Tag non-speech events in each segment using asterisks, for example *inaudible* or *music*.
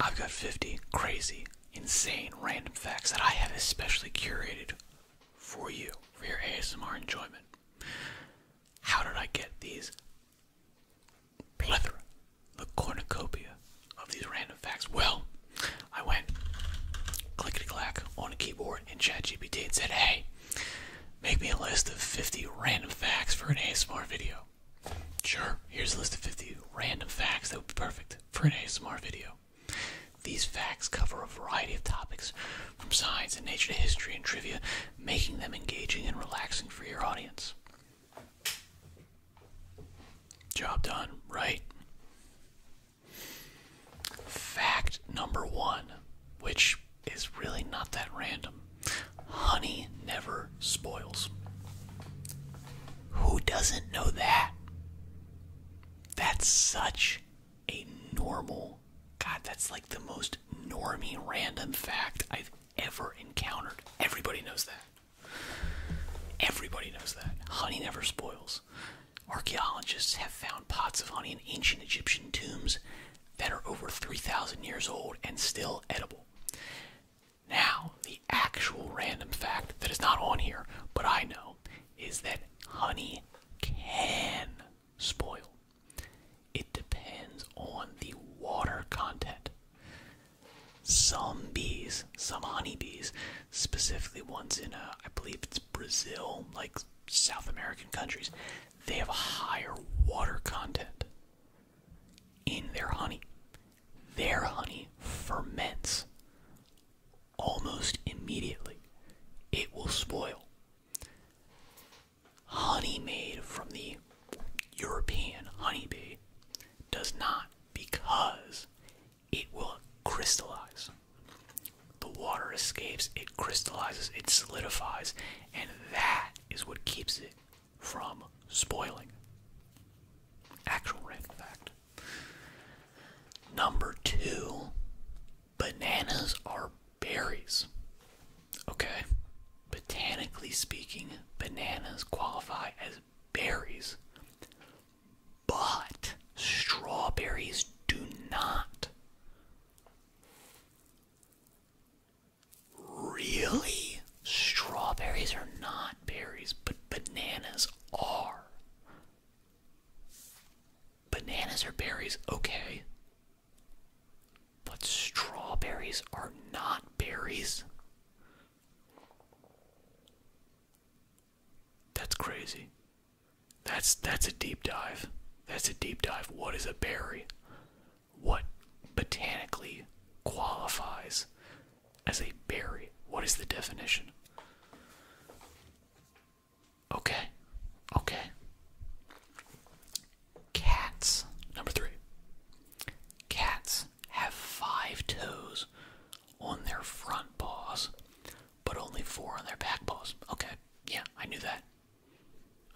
I've got 50 crazy, insane, random facts that I have especially curated for you, for your ASMR enjoyment. How did I get these plethora, the cornucopia of these random facts? Well, I went clickety clack on a keyboard in ChatGPT and said, hey, make me a list of 50 random facts for an ASMR video. Sure, here's a list of 50 random facts that would be perfect for an ASMR video. These facts cover a variety of topics, from science and nature to history and trivia, making them engaging and relaxing for your audience. Job done, right? Fact number one, which is really not that random honey never spoils. Who doesn't know that? That's such a normal, God, that's like the most normy random fact I've ever encountered. Everybody knows that. Everybody knows that. Honey never spoils. Archaeologists have found pots of honey in ancient Egyptian tombs that are over 3,000 years old and still edible. Now, the actual random fact that is not on here, but I know, is that honey can spoil. It depends on the water content. Some bees, some honey bees, specifically ones in, uh, I believe it's Brazil, like South American countries, they have a higher water content in their honey their honey ferments almost immediately. It will spoil. Honey made from the European honeybee does not because it will crystallize. The water escapes, it crystallizes, it solidifies, and that is what keeps it from spoiling. Actual random fact. Number two, bananas are berries. Okay? Botanically speaking, bananas qualify as berries. But strawberries do not. Really? Strawberries are not berries, but bananas are. Bananas are berries, okay. But strawberries are not berries. That's crazy. That's that's a deep dive. That's a deep dive. What is a berry? What botanically qualifies as a berry. What is the definition? Okay. Okay. Cats. Number three. Cats have five toes on their front paws, but only four on their back paws. Okay. Yeah, I knew that.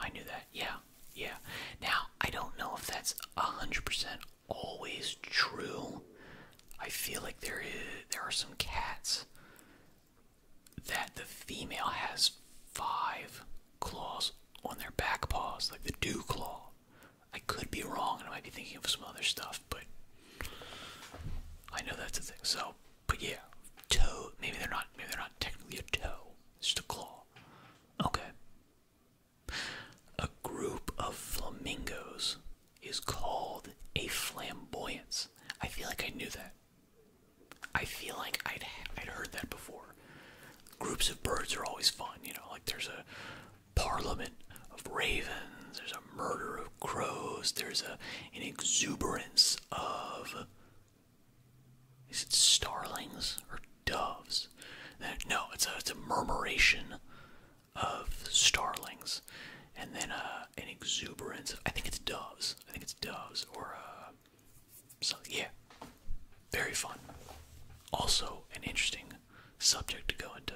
I knew that. Yeah. Yeah. Now, I don't know if that's 100% always true. I feel like there is there are some cats that the female has five claws on their back paws, like the dew claw. I could be wrong, and I might be thinking of some other stuff, but I know that's a thing. So, but yeah, toe. Maybe they're not. Maybe they're not technically a toe. It's just a claw. Okay. A group of flamingos is called a flamboyance. I feel like I knew that. I feel like I'd I'd heard that before. Groups of birds are always fun, you know. Like there's a parliament of ravens, there's a murder of crows, there's a an exuberance of is it starlings or doves. No, it's a murmuration of starlings, and then uh, an exuberance. Of, I think it's doves. I think it's doves or uh, something. Yeah, very fun. Also, an interesting subject to go into.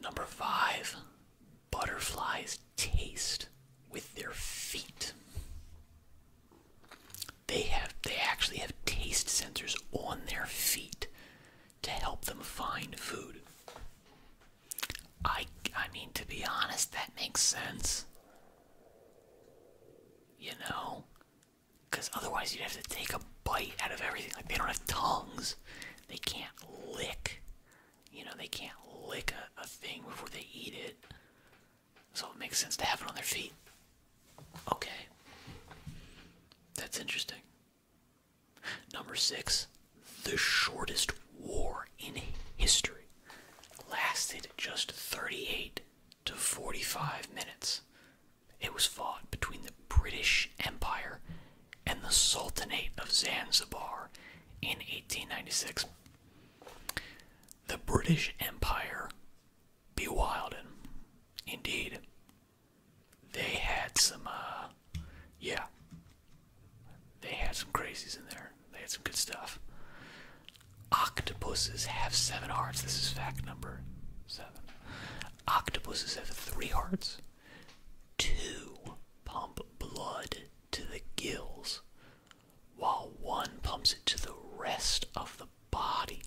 Number five, butterflies taste with their feet. They have they actually have taste sensors on their feet to help them find food. I I mean to be honest, that makes sense. You know? Because otherwise you'd have to take a bite out of everything. Like they don't have tongues. They can't lick. You know, they can't lick a, a thing before they eat it. So it makes sense to have it on their feet. Okay. That's interesting. Number six, the shortest war in history lasted just 38 to 45 minutes. It was fought between the British Empire and the Sultanate of Zanzibar in 1896. The British Empire be bewilding. Indeed, they had some, uh, yeah, they had some crazies in there. They had some good stuff. Octopuses have seven hearts. This is fact number seven. Octopuses have three hearts. Two pump blood to the gills, while one pumps it to the rest of the body.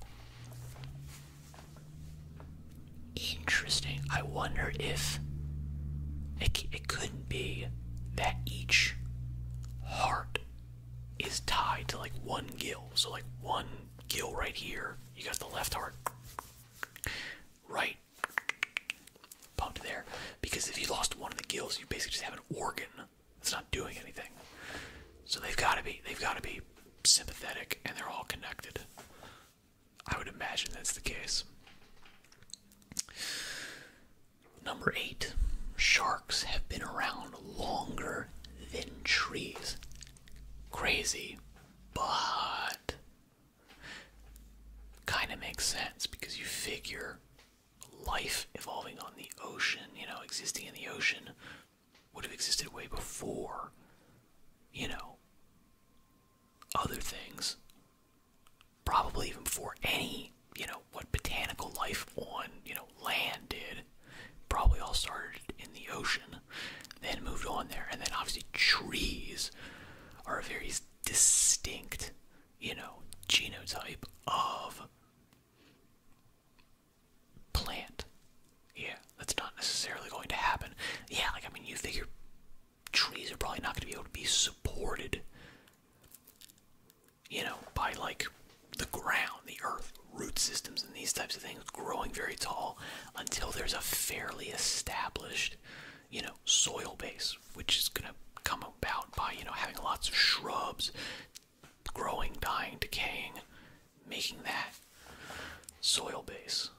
Interesting. I wonder if it, it couldn't be that each heart is tied to like one gill. So, like one gill right here, you got the left heart, right pumped there. Because if you lost one of the gills, you basically just have an organ that's not doing anything. So they've got to be, they've got to be sympathetic and they're all connected. I would imagine that's the case. Number eight, sharks have been around longer than trees. Crazy, but kind of makes sense because you figure life evolving on the ocean, you know, existing in the ocean would have existed way before, you know, other things. Probably even before any, you know, what botanical life on, you know, land did. Probably all started in the ocean, then moved on there. And then obviously, trees are a very distinct, you know, genotype of plant. Yeah, that's not necessarily going to happen. Yeah, like, I mean, you figure trees are probably not going to be able to be supported, you know, by like the ground, the earth, root systems, and these types of things growing very tall until there's a fairly established, you know, soil base, which is going to come about by, you know, having lots of shrubs, growing, dying, decaying, making that soil base.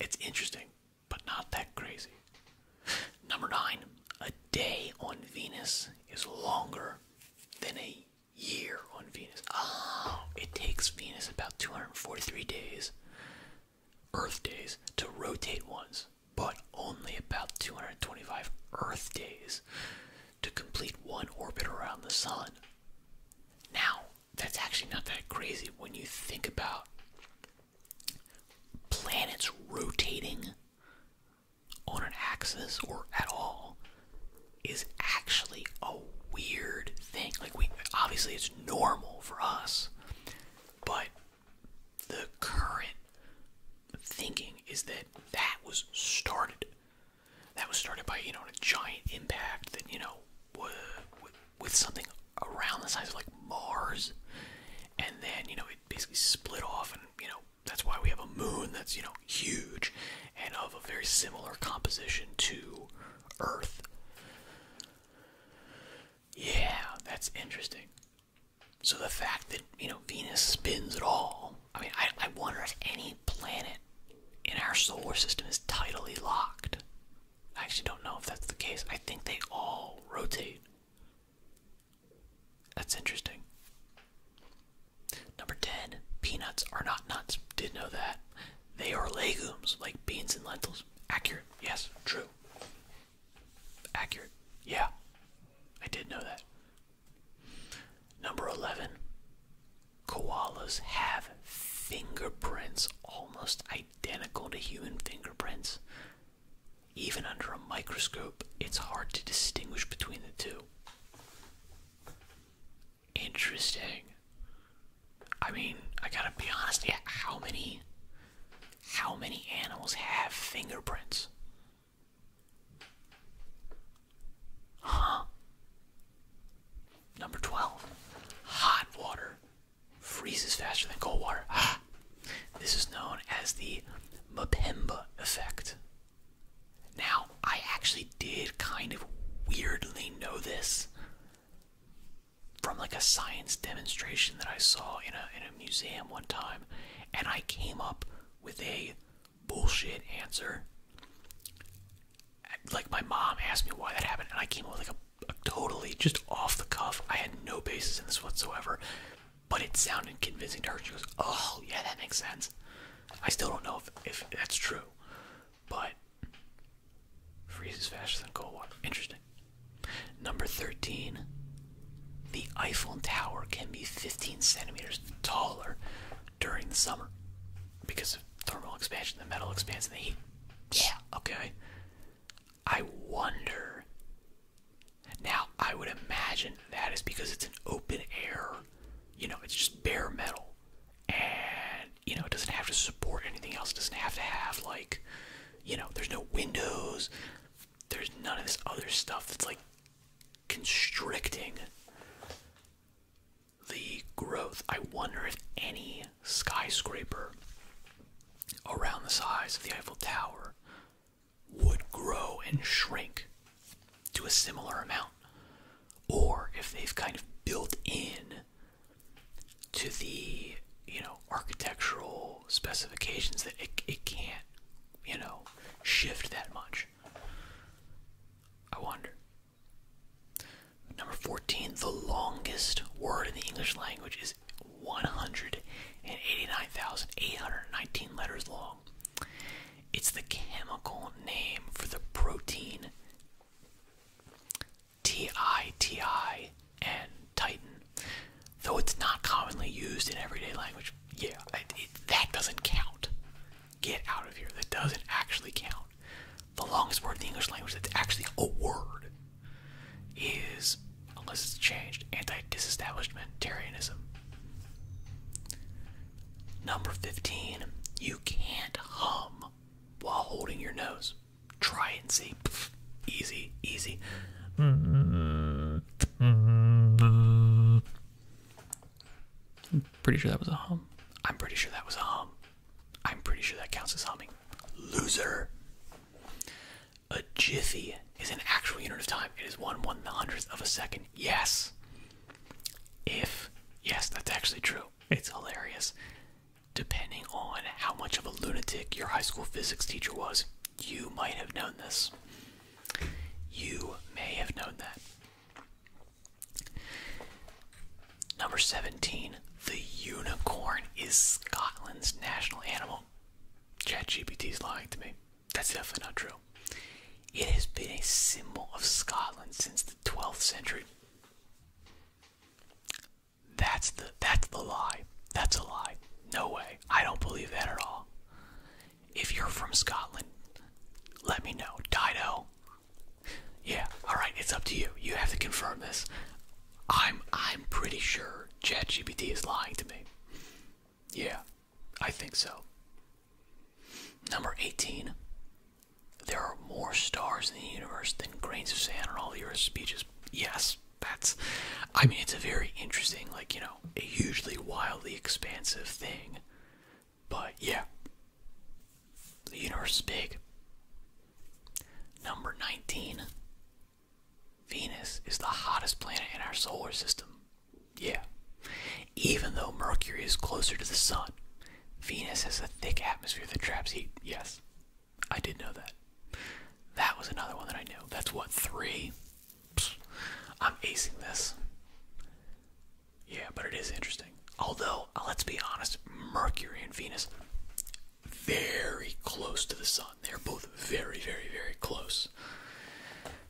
It's interesting, but not that crazy. Number nine, a day on Venus is longer than a year on Venus. Oh, it takes Venus about 243 days, Earth days, to rotate once, but only about 225 Earth days to complete one orbit around the sun. Now, that's actually not that crazy when you think about planets rotating on an axis or at all is actually a weird thing. Like we obviously it's normal for us, but the current thinking is that that was started that was started by you know a giant impact that you know with something around the size of like Mars, and then you know it basically split off, and you know that's why we have a moon that's you know huge and of a very similar composition to Earth. Yeah, that's interesting. So the fact that you know Venus spins at all I mean, I wonder if any planet in our solar system is tidally locked. I actually don't know if that's the case. I think they all rotate. That's interesting. Number 10. Peanuts are not nuts. Did know that. They are legumes, like beans and lentils. Accurate. Yes. True. Accurate. Yeah. I did know that. Number 11. Koalas have fingerprints almost identical to human fingerprints. Even under a microscope, it's hard to distinguish between the two. Interesting. I mean, I gotta be honest, yeah, how many how many animals have fingerprints? Huh? Number 12. Hot water freezes faster than cold water. Ah. This is known as the Mpemba effect. Now, I actually did kind of weirdly know this from like a science demonstration that I saw in a in a museum one time and I came up with a bullshit answer. Like my mom asked me why that happened, and I came up with like a, totally just off the cuff. I had no basis in this whatsoever, but it sounded convincing to her. She goes, "Oh yeah, that makes sense." I still don't know if if that's true, but freezes faster than cold water. Interesting. Number thirteen. The Eiffel Tower can be 15 centimeters taller during the summer because of thermal expansion, the metal expands in the heat. Yeah, okay. I wonder. Now, I would imagine that is because it's an open air, you know, it's just bare metal. And, you know, it doesn't have to support anything else. It doesn't have to have, like, you know, there's no windows. There's none of this other stuff that's, like, constricting the growth. I wonder if any skyscraper around the size of the Eiffel Tower would grow and shrink to a similar amount, or if they've kind of built in to the you know architectural specifications that it, it can't you know shift that much I wonder. Number 14, the longest word in the English language is 189,819 letters long. It's the chemical name for the protein TITI and Titan, though it's not commonly used in everyday language. Yeah, that doesn't count. Get out of here. That doesn't actually count. The longest word in the English language that's actually a word is, unless it's changed, anti disestablishmentarianism. Number 15, you can't hum while holding your nose. Try and see. easy, easy. Mm-hmm. Mm-hmm. I'm pretty sure that was a hum. I'm pretty sure that was a hum. I'm pretty sure that counts as humming. Loser. A jiffy is an actual unit of time. It is one one hundredth of a second. Yes. If yes, that's actually true. It's hilarious. Depending on how much of a lunatic your high school physics teacher was, you might have known this. You may have known that. Number 17, the unicorn is Scotland's national animal. is lying to me. That's definitely not true. It has been a symbol of Scotland since the 12th century. That's the that's the lie. That's a lie. No way. I don't believe that at all. If you're from Scotland, let me know. Dido. Yeah, alright, it's up to you. You have to confirm this. I'm I'm pretty sure ChatGPT is lying to me. Yeah, I think so. Number 18. There are more stars in the universe than grains of sand on all the Earth's beaches. Yes, that's. I mean, it's a very interesting, like, you know, a hugely wildly expansive thing but yeah, the universe is big. Number 19 Venus is the hottest planet in our solar system. Yeah. Even though Mercury is closer to the sun, Venus has a thick atmosphere that traps heat. Yes, I did know that. That was another one that I knew. That's what, three? I'm acing this. Yeah, but it is interesting. Although, uh, let's be honest, Mercury and Venus, very close to the sun. They're both very, very, very close.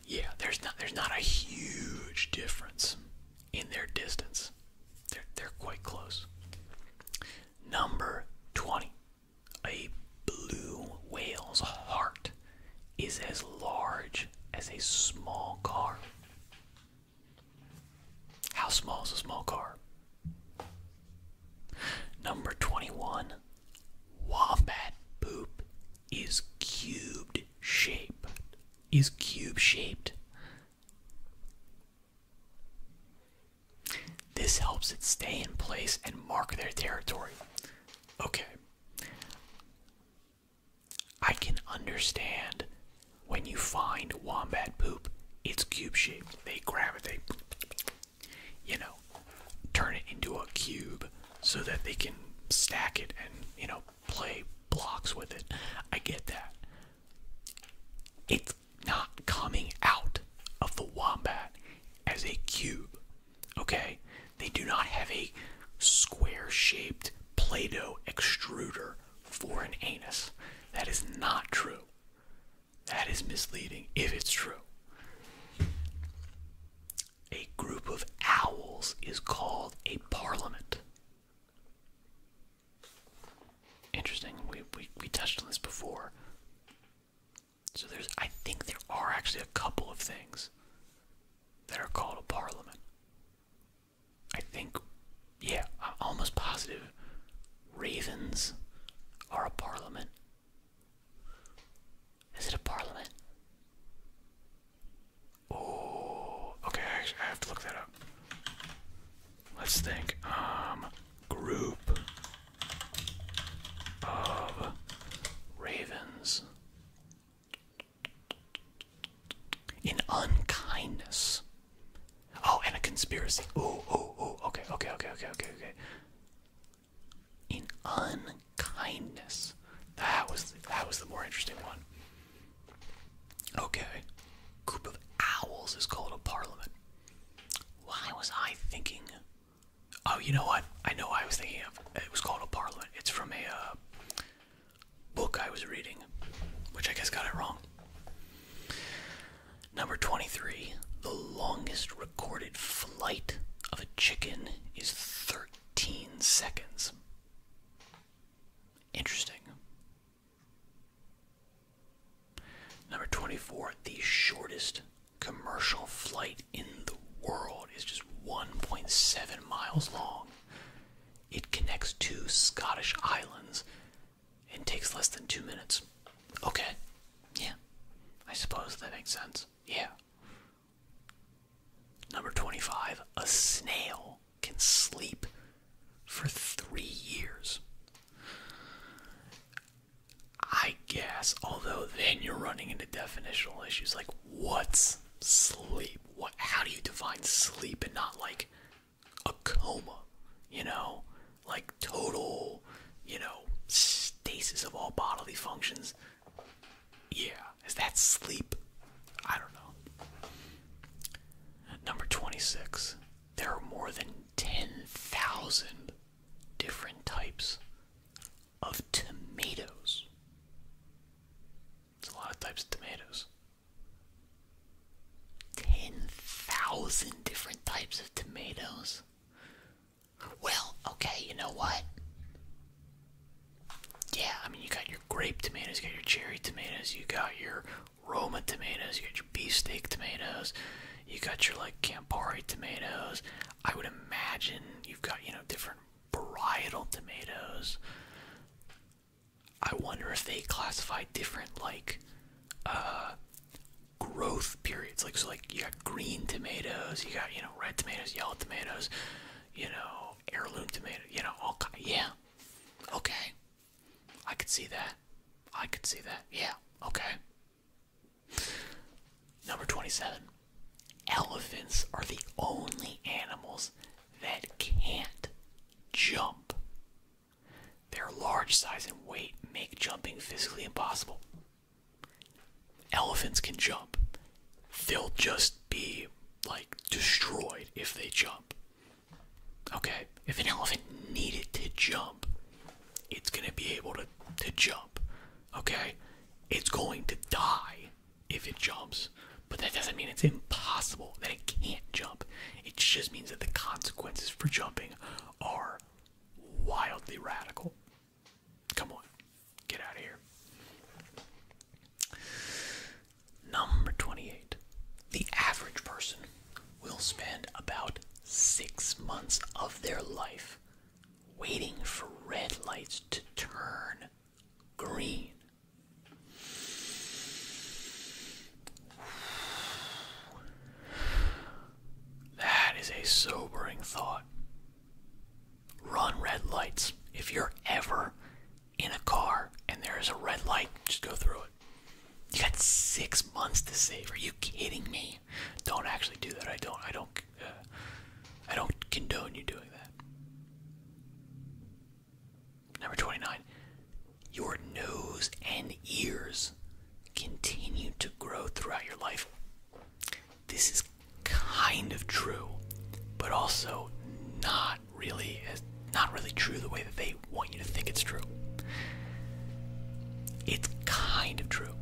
Yeah, there's not there's not a huge difference in their distance. They're they're quite close. Number 20. A blue whale's heart is as large as a small car. How small is a small car? Number 21. Wombat poop is cubed shape. Is cube shaped. This helps it stay in place and mark their territory. Okay. I can understand when you find wombat poop, it's cube shape. They grab it, they, you know, turn it into a cube so that they can stack it and, you know, play blocks with it. I get that. It's not coming out of the wombat as a cube, okay? They do not have a square shaped Play Doh extruder for an anus. That is not true. That is misleading if it's true. A group of owls is called a parliament. Interesting. We, we, we touched on this before. So there's, I think there are actually a couple of things that are called a parliament. I think, yeah, almost positive ravens are a parliament. Is it a parliament? Oh, okay, I have to look that up. Let's think. Um, group of ravens in unkindness. Oh, and a conspiracy. Ooh, ooh, ooh. Okay, okay, okay, okay, okay, okay. In unkindness. That was the, that was the more interesting one. Okay. Group of owls is called a parliament. Why was I thinking? Oh, you know what? I know I was thinking of. It was called a parliament. It's from a uh, book I was reading, which I guess got it wrong. Number 23. The longest recorded flight of a chicken is 13 seconds. Interesting. Number 24. The shortest commercial flight in the world is just 1.7 miles long. It connects two Scottish islands and takes less than two minutes. Okay. Yeah. I suppose that makes sense. Yeah. Number 25. A snail can sleep for three years. I guess, although then you're running into definitional issues like what's sleep. What? How do you define sleep and not like a coma? You know, like total, you know, stasis of all bodily functions. Yeah, is that sleep? I don't know. Number 26. There are more than 10,000 different types of tomatoes. There's a lot of types of tomatoes. 10,000 different types of tomatoes? Well, okay, you know what? Yeah, I mean, you got your grape tomatoes, you got your cherry tomatoes, you got your Roma tomatoes, you got your beefsteak tomatoes, you got your like Campari tomatoes. I would imagine you've got, you know, different varietal tomatoes. I wonder if they classify different like uh, growth periods. Like so like you got green tomatoes, you got, you know, red tomatoes, yellow tomatoes, you know, heirloom tomatoes. you know, all kind yeah. Okay. I could see that. I could see that. Yeah, okay. Number 27. Elephants are the only animals that can't jump. Their large size and weight make jumping physically impossible. Elephants can jump. They'll just be like destroyed if they jump. Okay, if an elephant needed to jump, it's going to be able to to jump. Okay? It's going to die if it jumps. But that doesn't mean it's impossible that it can't jump. It just means that the consequences for jumping are wildly radical. Come on, get out of here. Number 28. The average person will spend about six months of their life waiting for red lights to turn green. That is a sobering thought. Run red lights. If you're ever in a car and there is a red light, just go through it. You got six months to save. Are you kidding me? Don't actually do that. I don't. I don't. Uh, I don't condone you doing that. Number 29. Your nose and ears continue to grow throughout your life. This is kind of true, but also not really not really true the way that they want you to think it's true. It's kind of true.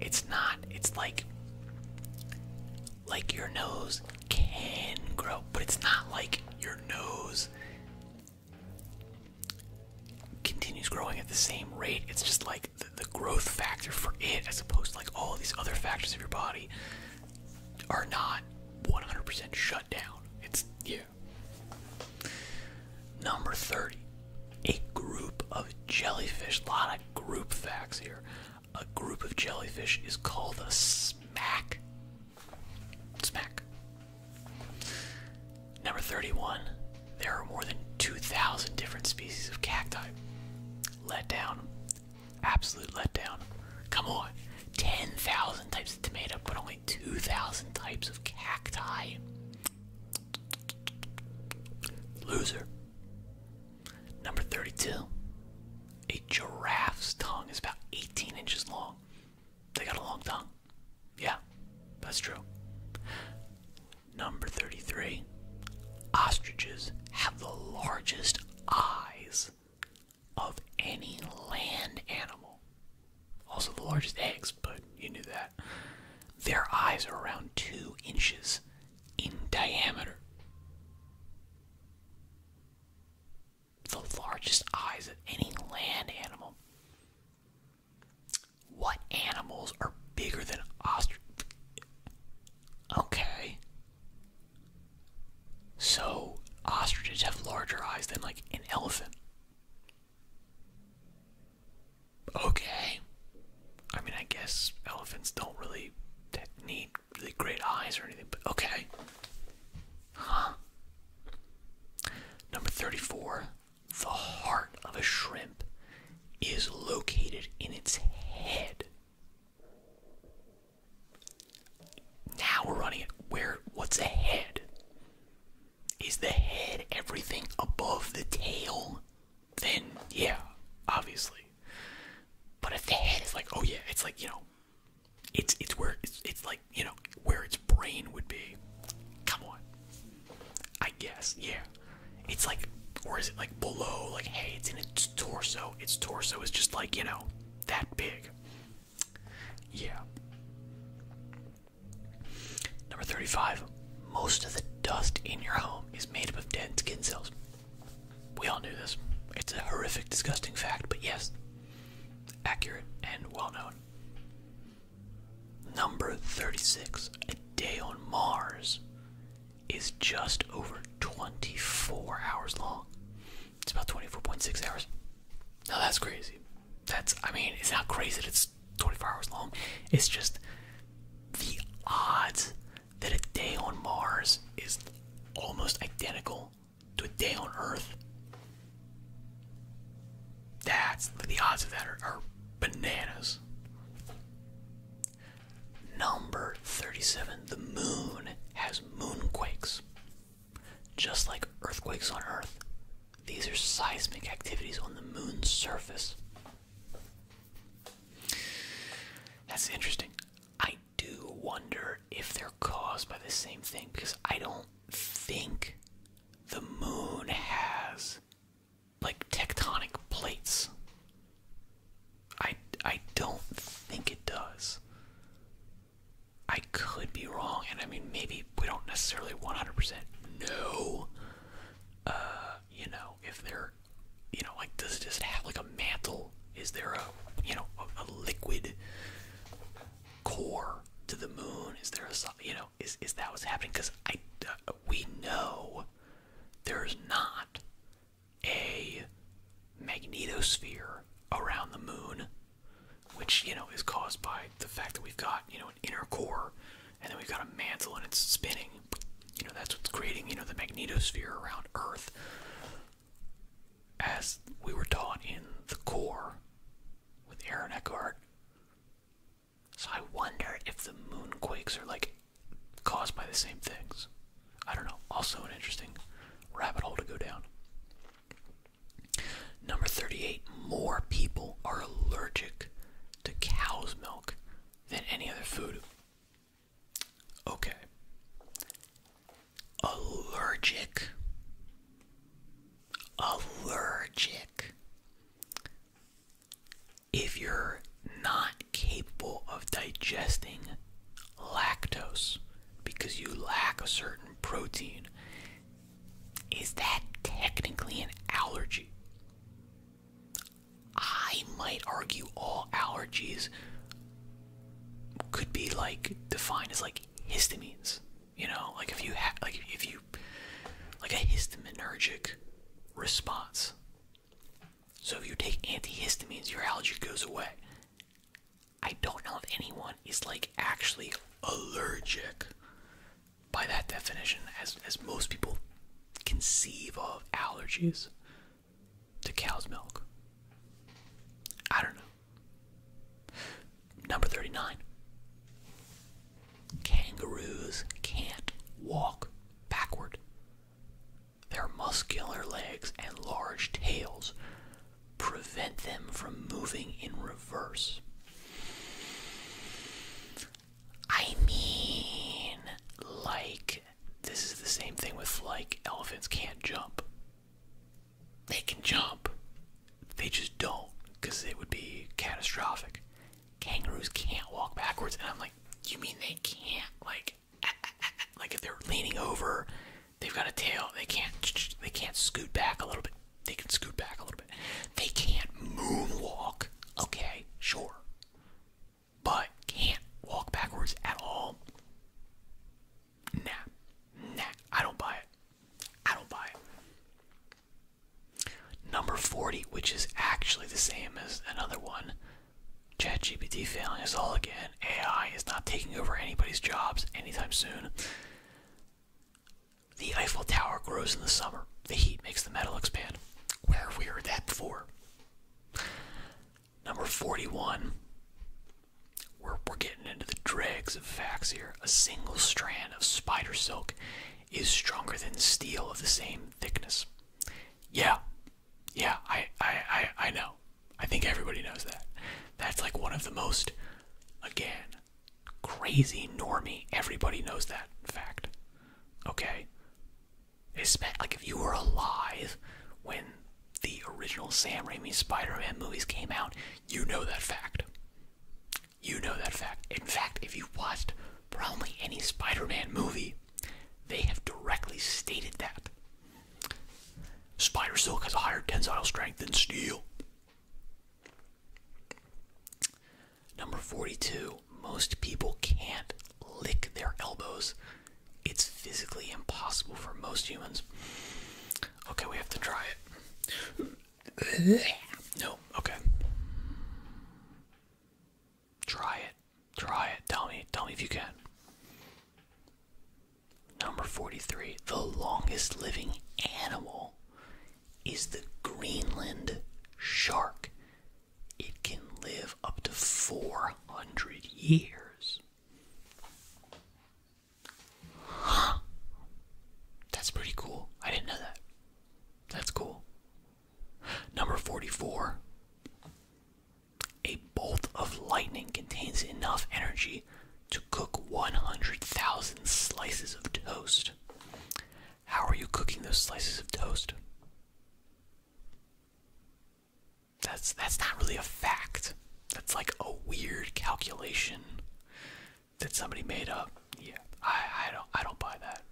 It's not. It's like like your nose can grow, but it's not like your nose continues growing at the same rate. It's just like the, growth factor for it, as opposed to like all these other factors of your body, are not 100% shut down. It's, yeah. Number 30, a group of jellyfish. A lot of group facts here a group of jellyfish is called a smack. Smack. Number 31. There are more than 2,000 different species of cacti. Letdown. Absolute letdown. Come on. 10,000 types of tomato, but only 2,000 types of cacti. Loser. Number 32. A giraffe's tongue is about 18 inches long. They got a long tongue. Yeah, that's true. Number 33. Ostriches have the largest eyes of any land animal. Also, the largest eggs, but you knew that. Their eyes are around two inches in diameter the largest eyes of any land animal. What animals are bigger than ostrich? Okay. So, ostriches have larger eyes than, like, an elephant. Okay. I mean, I guess elephants don't really need really great eyes or anything, but okay. Huh. Number 34. The heart of a shrimp is located in its head. Now we're running Where? What's a head? Is the head everything above the tail? Then, yeah, obviously. But if the head is like, oh yeah, it's like, you know, it's it's where it's it's like you know where its brain would be. Come on, I guess yeah. It's like or is it like below? Like hey, it's in its torso. Its torso is just like you know that big. Yeah. Number 35. Most of the dust in your home is made up of dead skin cells. We all knew this. It's a horrific, disgusting fact, but yes, accurate and well known. Number 36, a day on Mars, is just over 24 hours long. It's about 24.6 hours. Now that's crazy. That's, I mean, it's not crazy that it's 24 hours long. It's just the odds that a day on Mars is almost identical to a day on Earth. That's the odds of that are bananas. Number 37. The moon has moonquakes. Just like earthquakes on Earth, these are seismic activities on the moon's surface. That's interesting. I do wonder if they're caused by the same thing because I don't think the moon has like tectonic plates. I I don't think it does. I could be wrong, and I mean maybe we don't necessarily 100% know. Uh, you know, if they're, you know, like does it just have like a mantle is there a you know a, liquid core to the moon? Is there a you know is is that what's happening? Because I uh, we know there's not a magnetosphere around the moon, which you know is caused by the fact that we've got you know an inner core, and then we've got a mantle and it's spinning. You know that's what's creating you know the magnetosphere around Earth as we were taught in the core with Aaron Eckhart. So I wonder if the moonquakes are like caused by the same things. I don't know. Also an interesting rabbit hole to go down. Number 38, more people are allergic to cow's milk than any other food. Okay. Allergic. Allergic. If you're not capable of digesting lactose because you lack a certain protein, is that technically an allergy? I might argue all allergies could be like defined as like histamines. You know, like if you have, like if you like a histaminergic response. So if you take antihistamines, your allergy goes away. I don't know if anyone is like actually allergic by that definition, as as most people conceive of allergies to cow's milk. I don't know. Number 39. Kangaroos can't walk backward. Their muscular legs and large tails prevent them from moving in reverse. I mean, like this is the same thing with like elephants can't jump. They can jump. They just don't because it would be catastrophic. Kangaroos can't walk backwards, and I'm like, you mean they can't? Like, *laughs* like if they're leaning over, they've got a tail. They can't. They can't scoot back a little bit. They can scoot back a little bit. They can't moonwalk. Okay, sure, but can't walk backwards at all. Nah. Nah. I don't buy it. I don't buy it. Number 40, which is actually the same as another one. ChatGPT failing us all again. AI is not taking over anybody's jobs anytime soon. The Eiffel Tower grows in the summer. The heat makes the metal expand. Where have we heard that before? Number 41. We're, we're getting into the dregs of facts here. A single strand of spider silk is stronger than steel of the same thickness. Yeah, yeah, I, I, I, I know. I think everybody knows that. That's like one of the most, again, crazy normie. Everybody knows that fact. Okay? It's, like if you were alive when the original Sam Raimi Spider-Man movies came out, you know that fact. You know that fact. In fact, if you've watched probably any Spider-Man movie, they have directly stated that. Spider Silk has a higher tensile strength than steel. Number 42. Most people can't lick their elbows it's physically impossible for most humans. Okay, we have to try it. No, okay. Try it. Try it. Tell me. Tell me if you can. Number 43. The longest living animal is the Greenland shark. It can live up to 400 years. *gasps* That's pretty cool. I didn't know that. That's cool. Number 44. A bolt of lightning contains enough energy to cook 100,000 slices of toast. How are you cooking those slices of toast? That's that's not really a fact. That's like a weird calculation that somebody made up. Yeah, I I don't I don't buy that.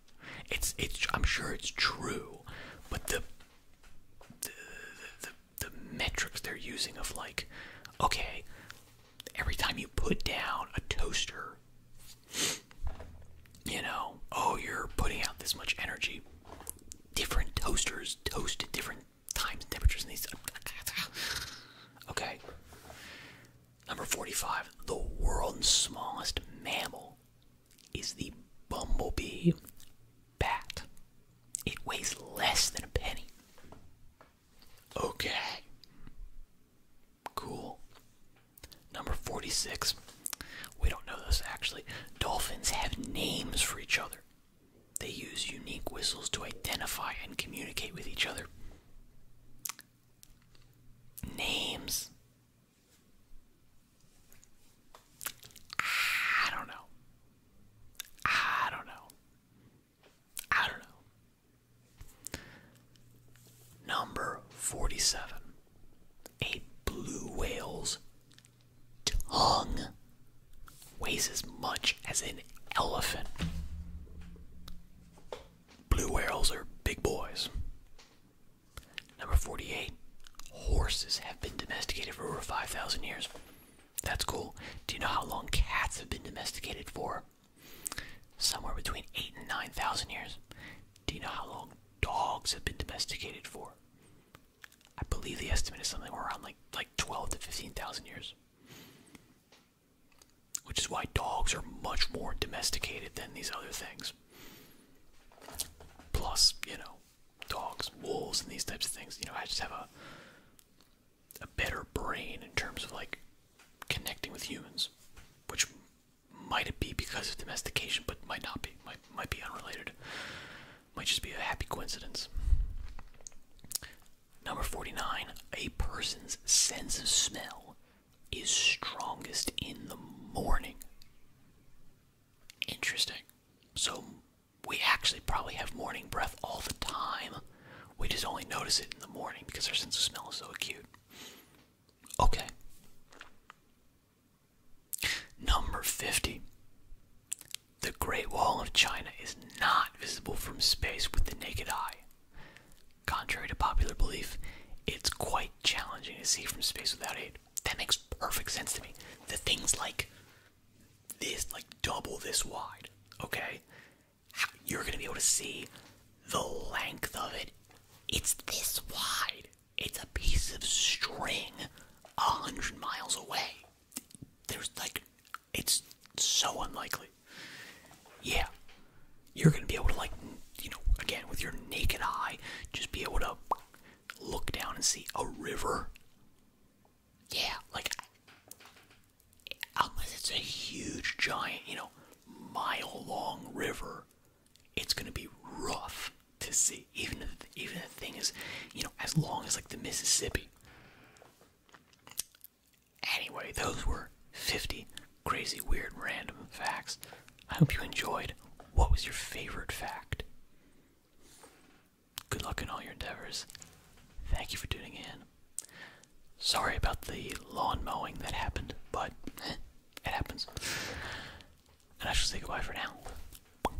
It's it's I'm sure it's true, but the the the, metrics they're using of like, okay, every time you put down a toaster, you know, oh you're putting out this much energy. Different toasters toast at different times temperatures in these. *laughs* Okay. Number 45. The world's smallest mammal is the bumblebee bat. It weighs less than a penny. Okay. Cool. Number 46. We don't know this actually. Dolphins have names for each other. They use unique whistles to identify and communicate with each other. Names. I don't know. I don't know. I don't know. Number 47. A blue whale's tongue weighs as much as an elephant. Blue whales are big boys. Number 48. Horses have been domesticated for over 5,000 years. That's cool. Do you know how long cats have been domesticated for? Somewhere between 8 and 9,000 years. Do you know how long dogs have been domesticated for? I believe the estimate is something around like like twelve to fifteen thousand years. Which is why dogs are much more domesticated than these other things. Plus, you know, dogs, wolves, and these types of things. You know, I just have a a better brain in terms of like connecting with humans, which might be because of domestication, but might not be. might be unrelated. Might just be a happy coincidence. Number 49. A person's sense of smell is strongest in the morning. Interesting. So we actually probably have morning breath all the time. We just only notice it in the morning because our sense of smell is so acute. Okay. Number 50. The Great Wall of China is not visible from space with the naked eye. Contrary to popular belief, it's quite challenging to see from space without aid. That makes perfect sense to me. The thing's like this, like double this wide, okay? You're gonna be able to see the length of it. It's this wide. It's a piece of string a hundred miles away. There's like, it's so unlikely. Yeah, you're gonna be able to like, you know, again with your naked eye, just be able to look down and see a river. Yeah, like unless it's a huge, giant, you know, mile-long river, it's gonna be rough to see even if, even the thing is, you know, as long as like the Mississippi. Anyway, those were 50 crazy, weird, random facts. I hope you enjoyed. What was your favorite fact? Good luck in all your endeavors. Thank you for tuning in. Sorry about the lawn mowing that happened, but eh, it happens. And I shall say goodbye for now.